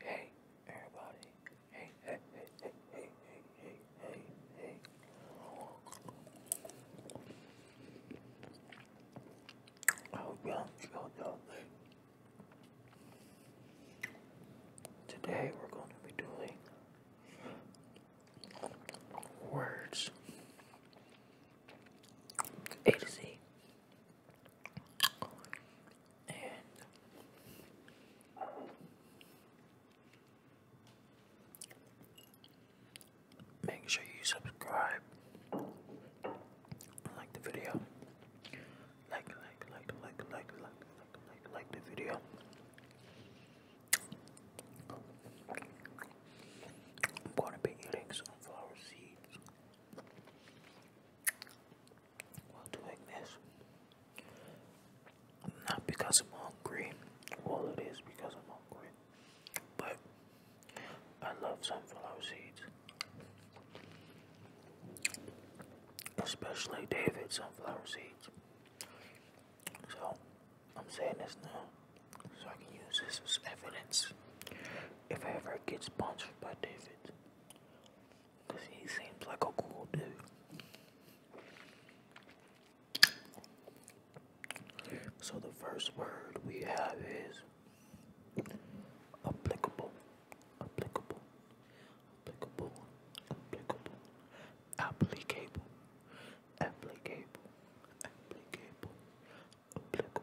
Hey, everybody. Hey, hey, hey, hey, hey, hey, hey, hey, hey. I hope y'all feel lovely. Today we're going to be doing words A to Z. And make sure you subscribe, like the video, like, like, like, like, like, like, like, like, the video. I'm going to be eating sunflower seeds while doing this. Not because I'm hungry, well, it is because I'm hungry, but I love sunflower seeds. Especially David's sunflower seeds. So, I'm saying this now so I can use this as evidence if ever it gets sponsored by David. Cause he seems like a cool dude. So the first word we have is applicable, applicable, applicable, applicable, applicable, applicable, applicable, applicable,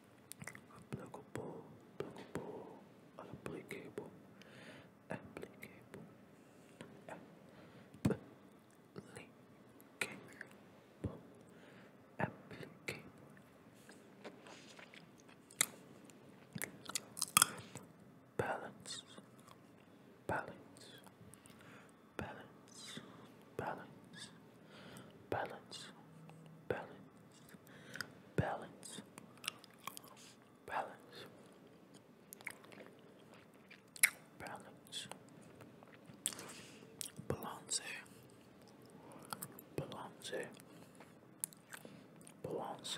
applicable, applicable, applicable, applicable, applicable, applicable, applicable. Balance, balance, balance, balance, balance, balance balance, balance, balance, balance, balance, balance, balance. Balance,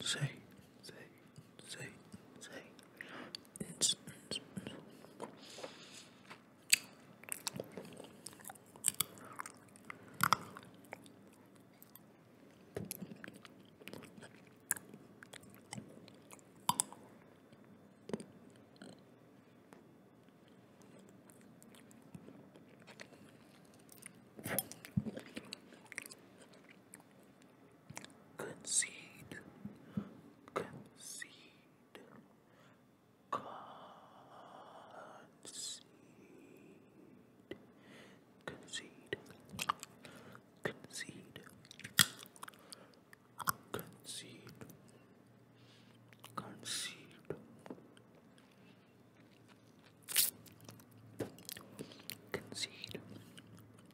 say, say, say, say. It's, it's, it's concede, concede, concede, concede, concede, concede, concede. Concede,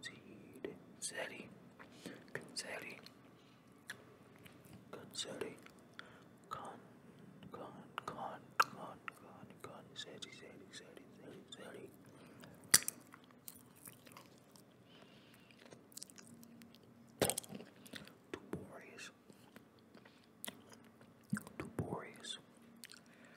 Seed, Zeddy, Consetti, Consetti, Con, Con, Con, Con, Con, Con, Zeddy, Zeddy, Zeddy, Zeddy, Zeddy. Tuborious, Tuborious,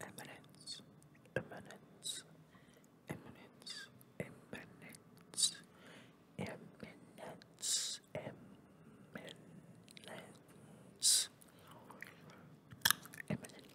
Eminence, eminence, eminence, eminence, eminence, eminence, eminence, eminence.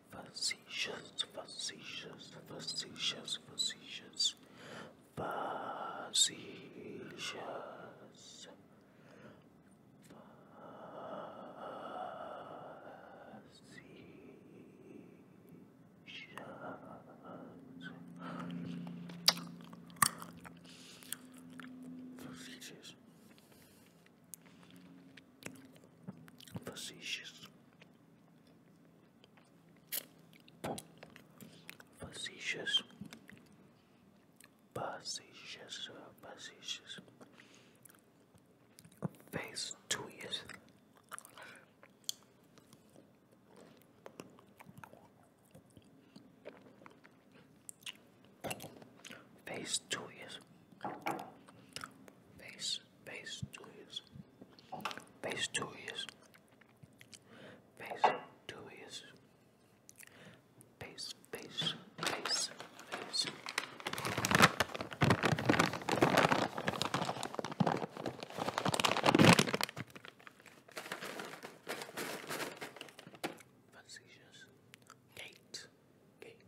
facetious, facetious, facetious, facetious, facetious, facetious, facetious. Facetious, facetious, facetious. Face two years. Face two years. Face Phase two years. Phase two years. Phase two years. Phase, phase, phase, phase. Facetious. Gate. Gate.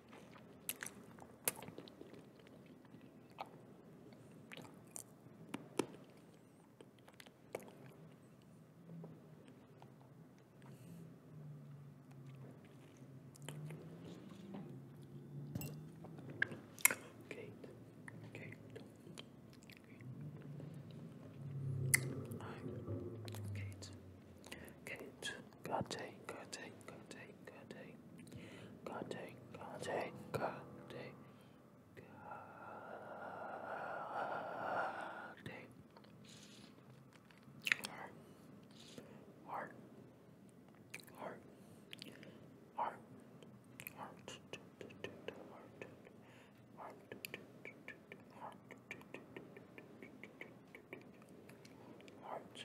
Kate, Kate, Kate, Kate, Kate, Kate, Kate, Kate, Kate, Kate, Kate, Kate, Heart, heart, heart, heart, heart, heart, heart, heart,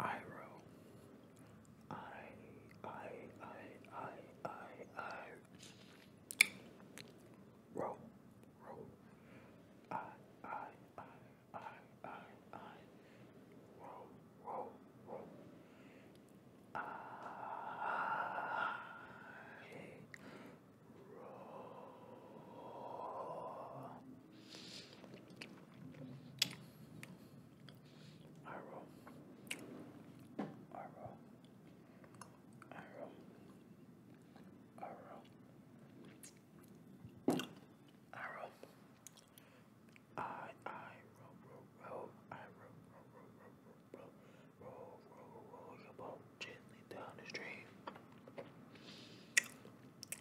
Iro. I I I I I I Roll I I I I I I Roll Roll I roll. I roll. I I roll. I roll. I I roll gently down the stream.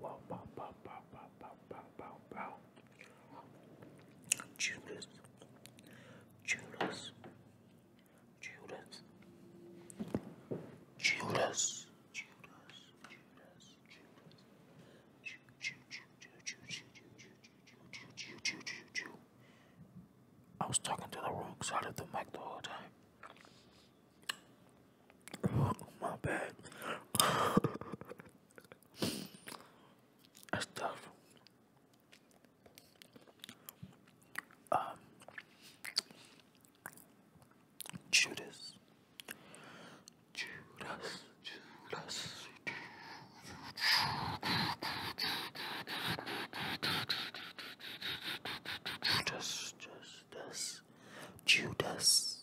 Wow, wow, wow, wow, wow, wow, wow, wow, wow. Judas, Judas, Judas, Judas, Judas, Judas, Judas. I was talking to the wrong side of the mic the whole time. Oh, my bad. That's tough. Um, Judas. Judas. Judas. Judas. Judas. Judas. Judas.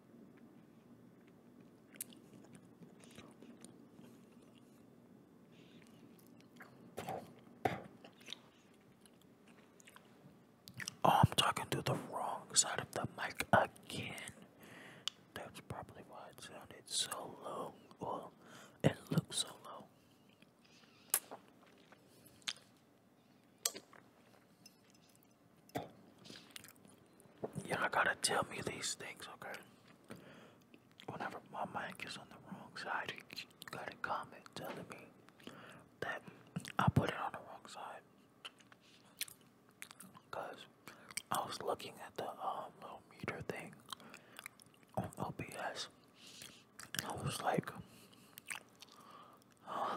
Oh, I'm talking to the wrong side of the mic again. That's probably why it sounded so low. Well, it so low. Y'all gotta tell me these things, okay? Whenever my mic is on the wrong side, you gotta comment telling me that I put it on the wrong side. Cause I was looking at the um, meter thing on OBS. I was like, huh?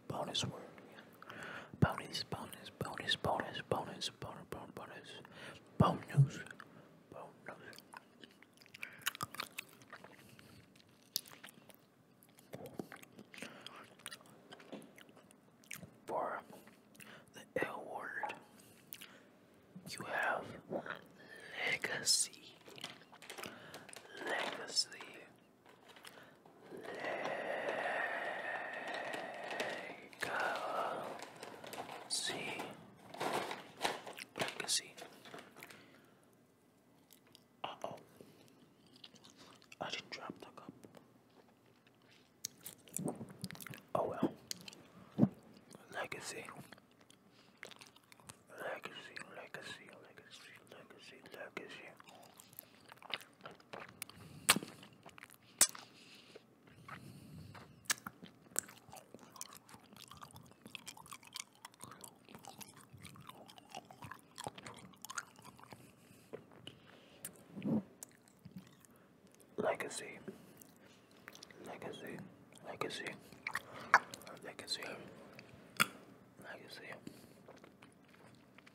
bonus word. Bonus, bonus, bonus, bonus, bonus, bonus, bonus, bonus, bonus, bonus. For the L word, you have legacy, legacy, Legacy. Legacy. Uh oh. I didn't the cup. Oh well. Legacy, legacy, legacy, legacy, legacy. Legacy, legacy, legacy, legacy, legacy,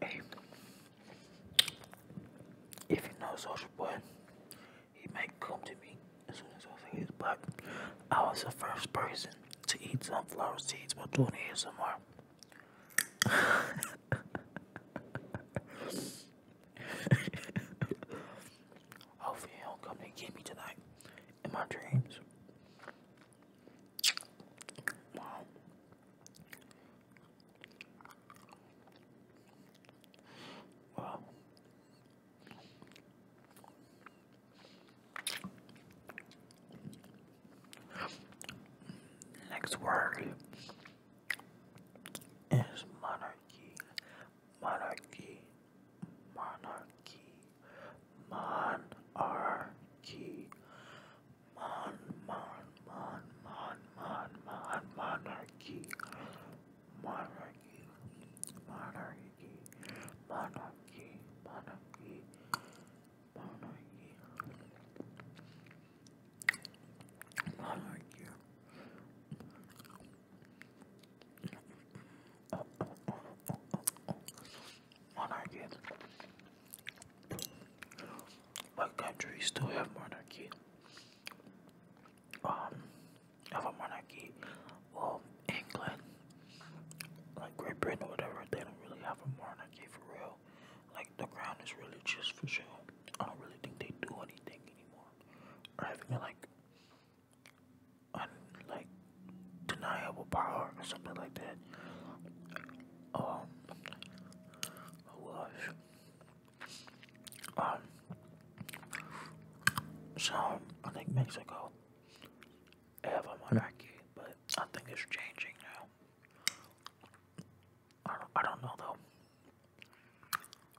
Hey, if you know Social Boy, he might come to me as soon as I think he's back. I was the first person to eat sunflower seeds while doing ASMR. Hopefully, he'll come and get me tonight in my dreams. Next word is monarchy, monarchy, monarchy, monarchy, Mon, mon, mon, mon, mon, mon, monarchy, monarchy, monarchy, monarchy, monarchy, monarchy, monarchy. Monarchy. What countries still have monarchy? Um, have a monarchy. Well, England, like Great Britain or whatever, they don't really have a monarchy for real. Like the crown is really just for show. I don't really think they do anything anymore. Or having like un- like deniable power or something like that. Um, Oh um so I think Mexico have a monarchy, but I think it's changing now. I don't, I don't know though.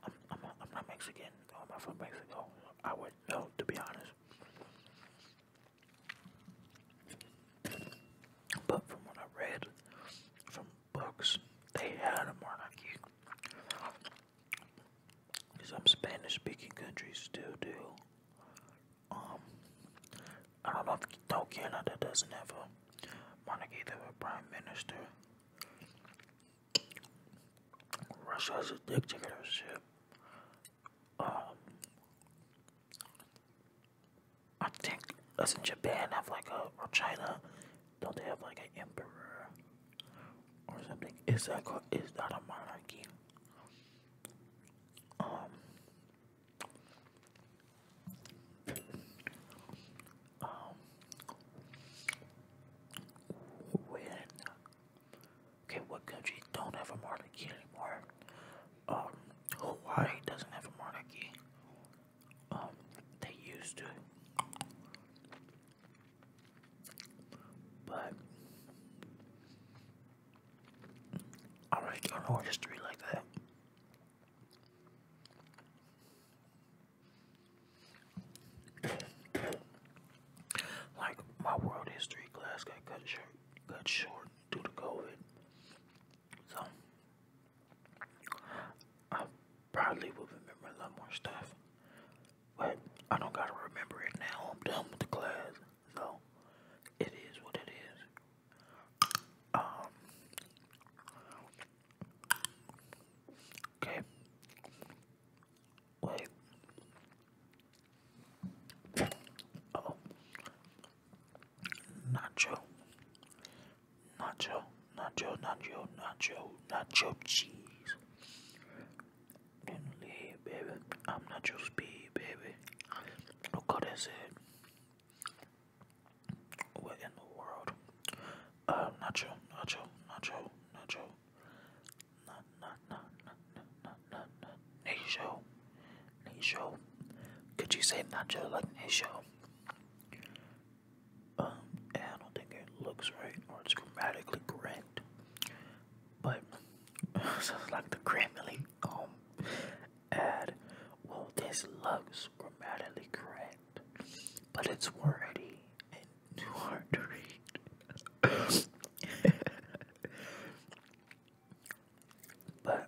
I'm, I'm, not, I'm Mexican. I'm from Mexico. I would know to be honest. But from what I read, from books. They had a monarchy. Some Spanish-speaking countries still do. Um, I don't know if no Canada doesn't have a monarchy. They have a prime minister. Russia has a dictatorship. Um, I think doesn't Japan have like a or China? Don't they have like an emperor or something? Is that that a monarchy? Um. Um. When? Okay, what country don't have a monarchy anymore? Um, Hawaii doesn't have a monarchy um, they used to. But I don't know history like that. like my world history class got cut short due to COVID. So I probably will remember a lot more stuff, but I don't gotta remember it now. I'm done with the class, so it is what it is. Um. Okay. Wait. Oh. Nacho nacho, nacho, nacho, nacho, nacho cheese. And baby, I'm nacho speed, baby. Look how that's it. What in the world? Uh, nacho, nacho, nacho, nacho. Na, na, na, na, na, na, na, nacho, nacho. Could you say nacho like nacho? Um, I don't think it looks right or it's grammatically correct, but sounds like the grammarly um ad. Well, this looks grammatically correct, but it's wordy and too hard to read. but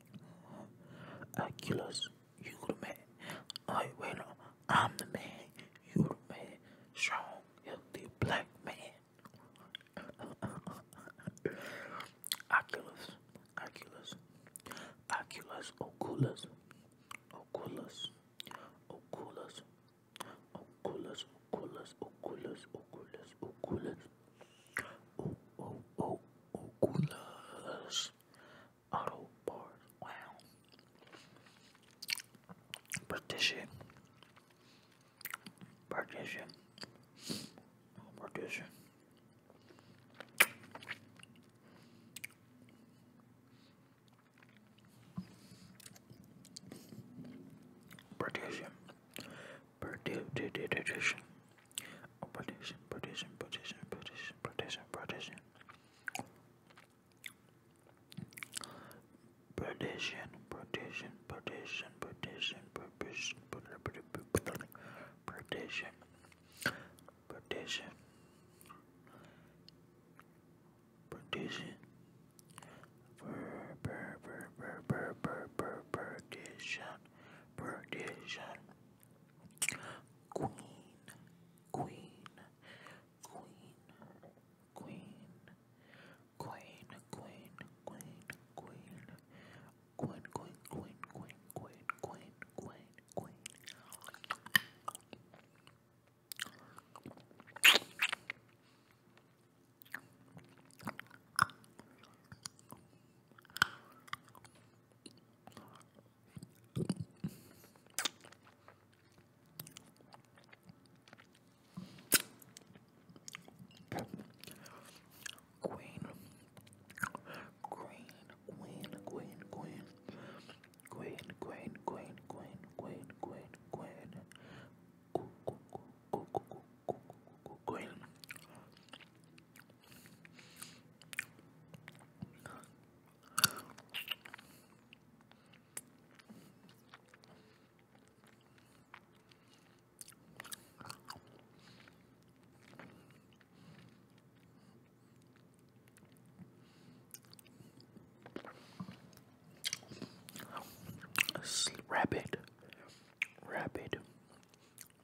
Achilles, you the man. I wait on. I'm the man. You the man. Strong, healthy black man. Oculus, Oculus, Oculus, Oculus, Oculus, Oculus, Oculus, Oculus, Oculus, Oculus, Oculus, Oh, oh, oh, Oculus Auto Parts. Wow. Partition. Partition. Partition. Partition. Partition. Partition. Oh, partition, partition, partition, partition, partition, partition. Partition, partition, partition, partition, partition, partition, partition, partition, partition, partition, partition. Queen, Queen, Queen, Queen, Queen, Queen, Queen, Queen, Queen, Queen, Queen, Queen, Queen, Queen, Queen, Queen. Queen, Queen, Queen, Queen, Queen, Queen, Queen, Queen, Queen, Queen, Queen, Queen, Queen, Queen, Rapid, rapid,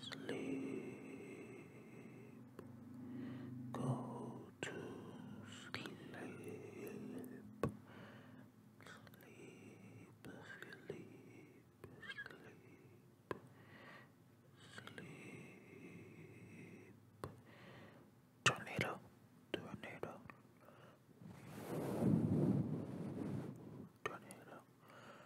sleep. Go to sleep. Sleep, sleep, sleep, sleep. Tornado, tornado. Tornado,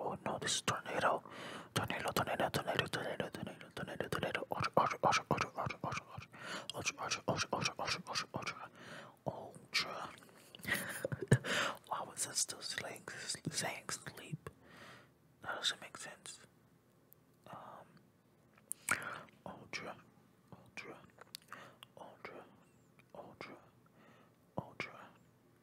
Oh no, this is tornado. Tornado, tornado, tornado, tornado, tornado, tornado, tornado. Ultra, ultra, ultra, ultra, ultra, ultra, ultra, ultra, ultra, ultra, Why was it still saying, saying sleep? That doesn't make sense. ultra, ultra, ultra, ultra, ultra,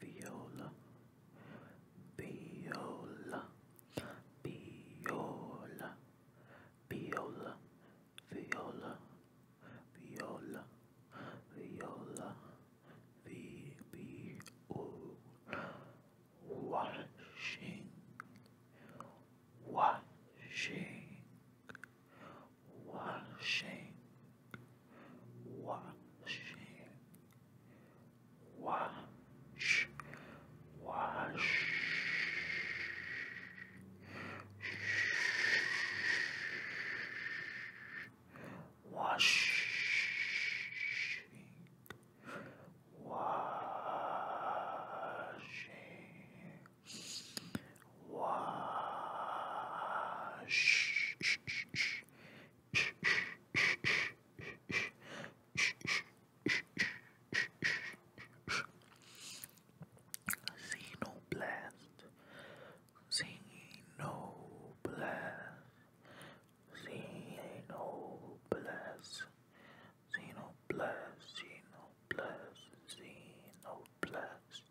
viola, viola, viola, viola, viola, viola, viola, vi, vi, o, washing, washing, washing. washing, wash, wash. Washing, washing, wash, Xenoblast, Xenoblast, Xenoblast, Xenoblast, Xenoblast, Xenoblast,